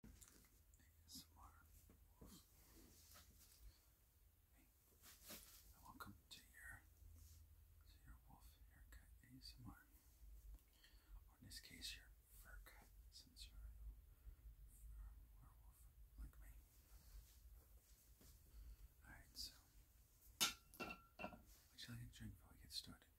Hey, and welcome to your, to your Wolf Haircut ASMR. Or in this case, your fur cut, since you're a werewolf like me. Alright, so, what would you like drink before we get started?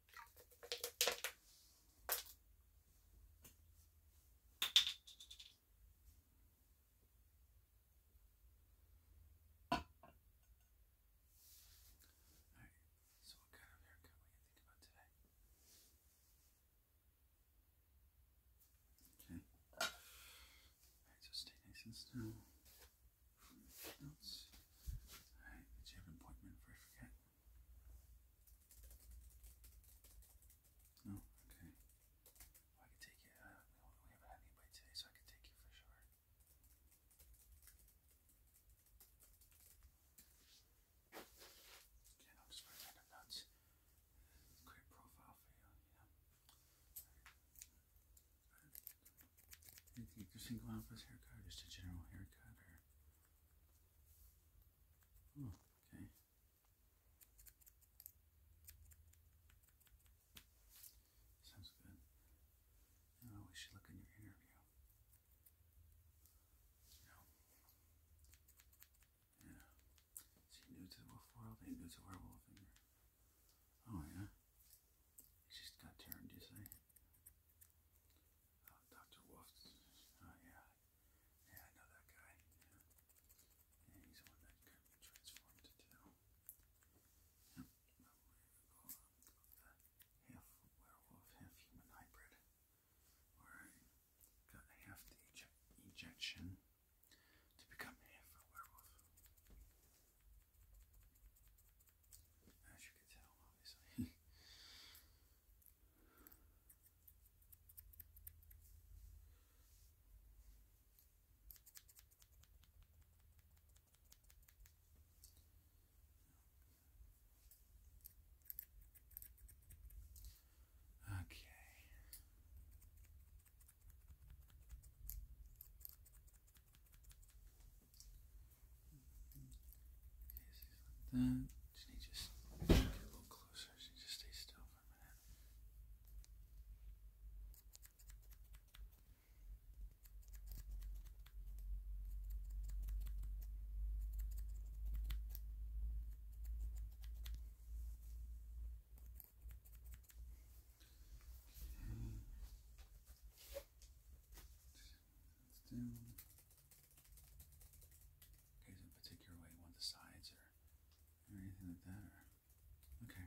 Alright, so what kind of haircut were you thinking about today? Okay. Alright, so stay nice and still. Notes. Alright, did you have an appointment for I forget? No, oh, okay. I can take you. Uh, we haven't had anybody today, so I can take you for sure. Okay, I'll just write down the nuts. profile for you, you know. single out haircut just a general haircut Oh, okay. Sounds good. Now we should look in your interview. No. Yeah. he new to the world? He new to werewolf in Oh yeah. He just got turned, you say? Oh, Dr. Wolf. Oh, yeah. Yeah, I know that guy. he's the one that got transformed into. half werewolf, half human hybrid. Where I got half the ej ejection to become half a werewolf. As you can tell, obviously. Okay. Okay, so he's like that. Can he just get a little closer? She so just stay still for a minute. Okay. It's Okay, a particular way you want the sides or, or anything like that? Or, okay.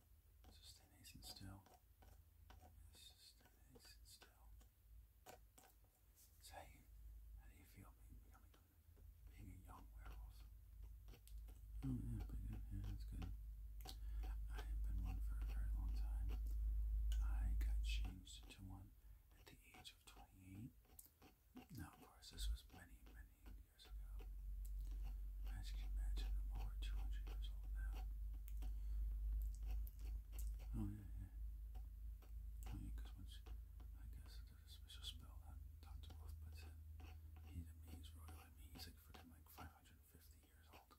So stay nice and still. stay nice and still. how, do you feel being, a young werewolf? Oh Yeah, that's good. I have been one for a very long time. I got changed into one at the age of 28. Now, of course, this was many, many years As you can imagine, I'm over 200 years old now. Oh, yeah, yeah. because oh, once, I guess there's a special spell that Dr. Wolf puts in. he's royal. he's like freaking like 550 years old.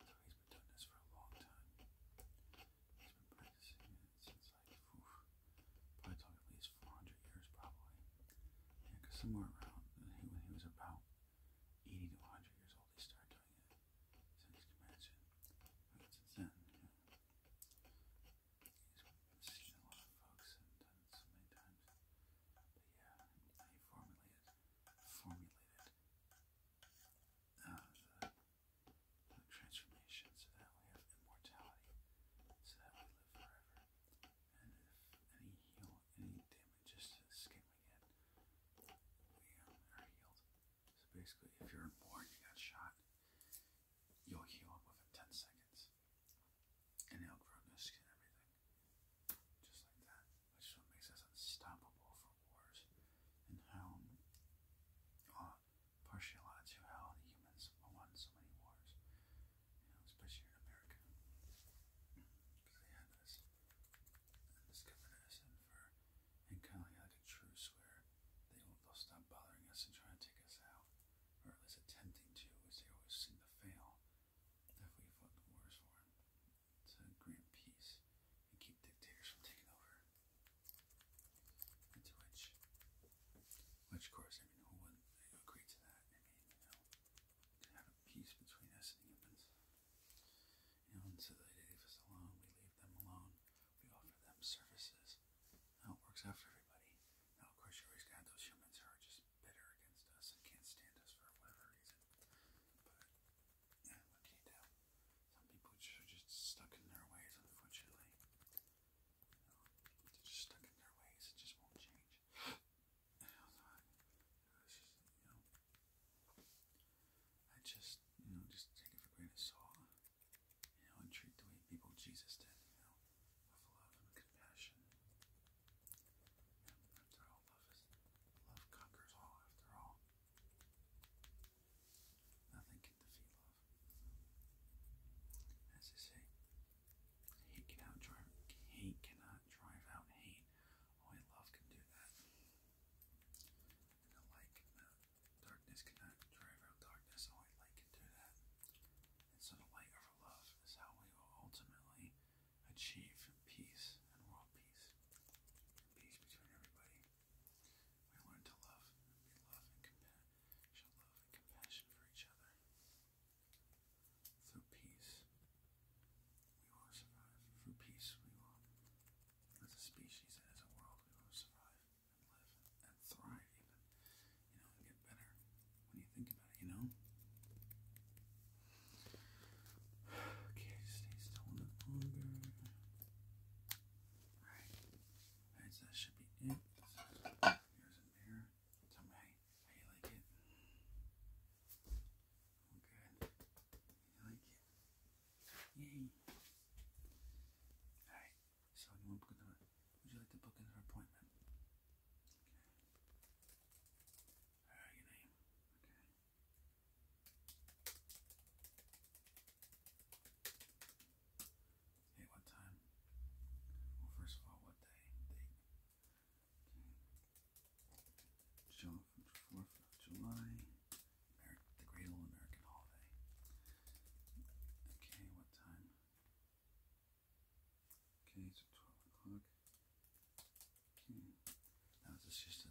So he's been doing this for a long time. He's been practicing it since like, probably at least 400 years probably. Yeah, because somewhere around when uh, he was about eighty to hundred years old, he started doing it. since then, he's seen a lot of folks and done it so many times. But yeah, he formulated formulated uh, the, the so that we have immortality, so that we live forever. And if any heal, any damages to skin we we are healed. So basically, if you're born, you got shot, you'll heal up within 10 seconds. And it'll grow skin everything. Just like that. Which is what makes us unstoppable for wars. And how partially a lot to how the humans won so many wars, you know, especially here in America. Because they had this, discovered us, and for, and kind of like a truce where they will, they'll stop bothering us and try to take us out, or at least attempting to, which they always seem to fail if we fought the wars for them, to grant peace and keep dictators from taking over. Into which, which, course, I mean, who wouldn't agree to that? I mean, you know, to have peace between us and humans. You know, and so they leave us alone, we leave them alone, we offer them services. Now it works out for everybody. Now, of course, you always got those humans who are just bitter against us and can't stand us for whatever reason. But, what can you do? Some people are just stuck in their ways, unfortunately just stuck in their ways. It just won't change. And I just, you know, just, take it for granted. So, you know, and treat the way people Jesus did, you know, with love and compassion. after all, love is, love conquers all. After all, Nothing can defeat love. As I say, hate cannot drive hate cannot drive out hate. Only oh, love can do that. the light cannot darkness cannot drive out darkness, only oh, light can do that. And so the light of love is how we will ultimately achieve peace and world peace. peace between everybody. We learn to love love and compassion for each other. Through peace, we will survive. Through peace, we will, as a species and as a world, we will survive and live and, thrive, you know, get better when you think about it, you know? Okay, stay still a little longer. Alright. Alright, that should be it. Here's a mirror. Tell me how you, like it. Oh, good. You like it? Yay. Alright, so you want to book another, would you like to book another appointment? Okay. Alright, your name. Okay. Hey, what time? first of all, what day? Date. June 4th July. the Great American Holiday. Okay, what time? Okay, so 12 o'clock. Now, is this just a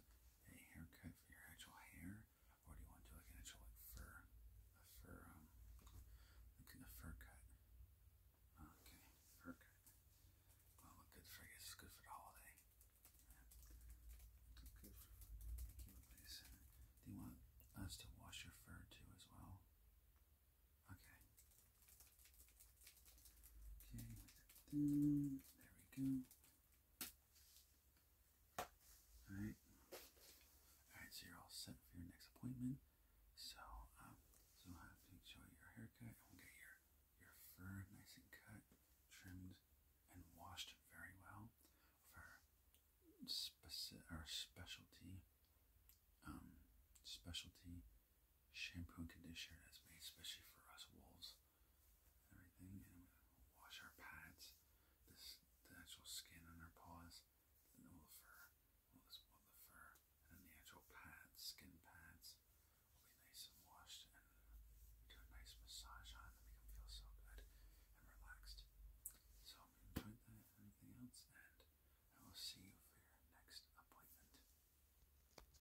haircut for your actual hair? or do you want to do like an fur, fur, um, like a fur cut? Oh, okay, fur cut. Well, good for it's good for the holiday. Do you want us to wash your fur too as well? Okay. Okay, There we go. Alright. Alright, so you're all set for your next appointment. So, um, I'll have to show you your haircut and we'll get your, your fur nice and cut, trimmed, and washed very well for specific or specialty um specialty shampoo and conditioner that's made especially for us wolves everything, and wash our pads, this the actual skin on our paws, all the fur, all this all the fur, and the actual pads, skin pads, will be nice and washed, and do a nice massage on to make them feel so good and relaxed. So I that. Anything else? And I will see you for your next appointment.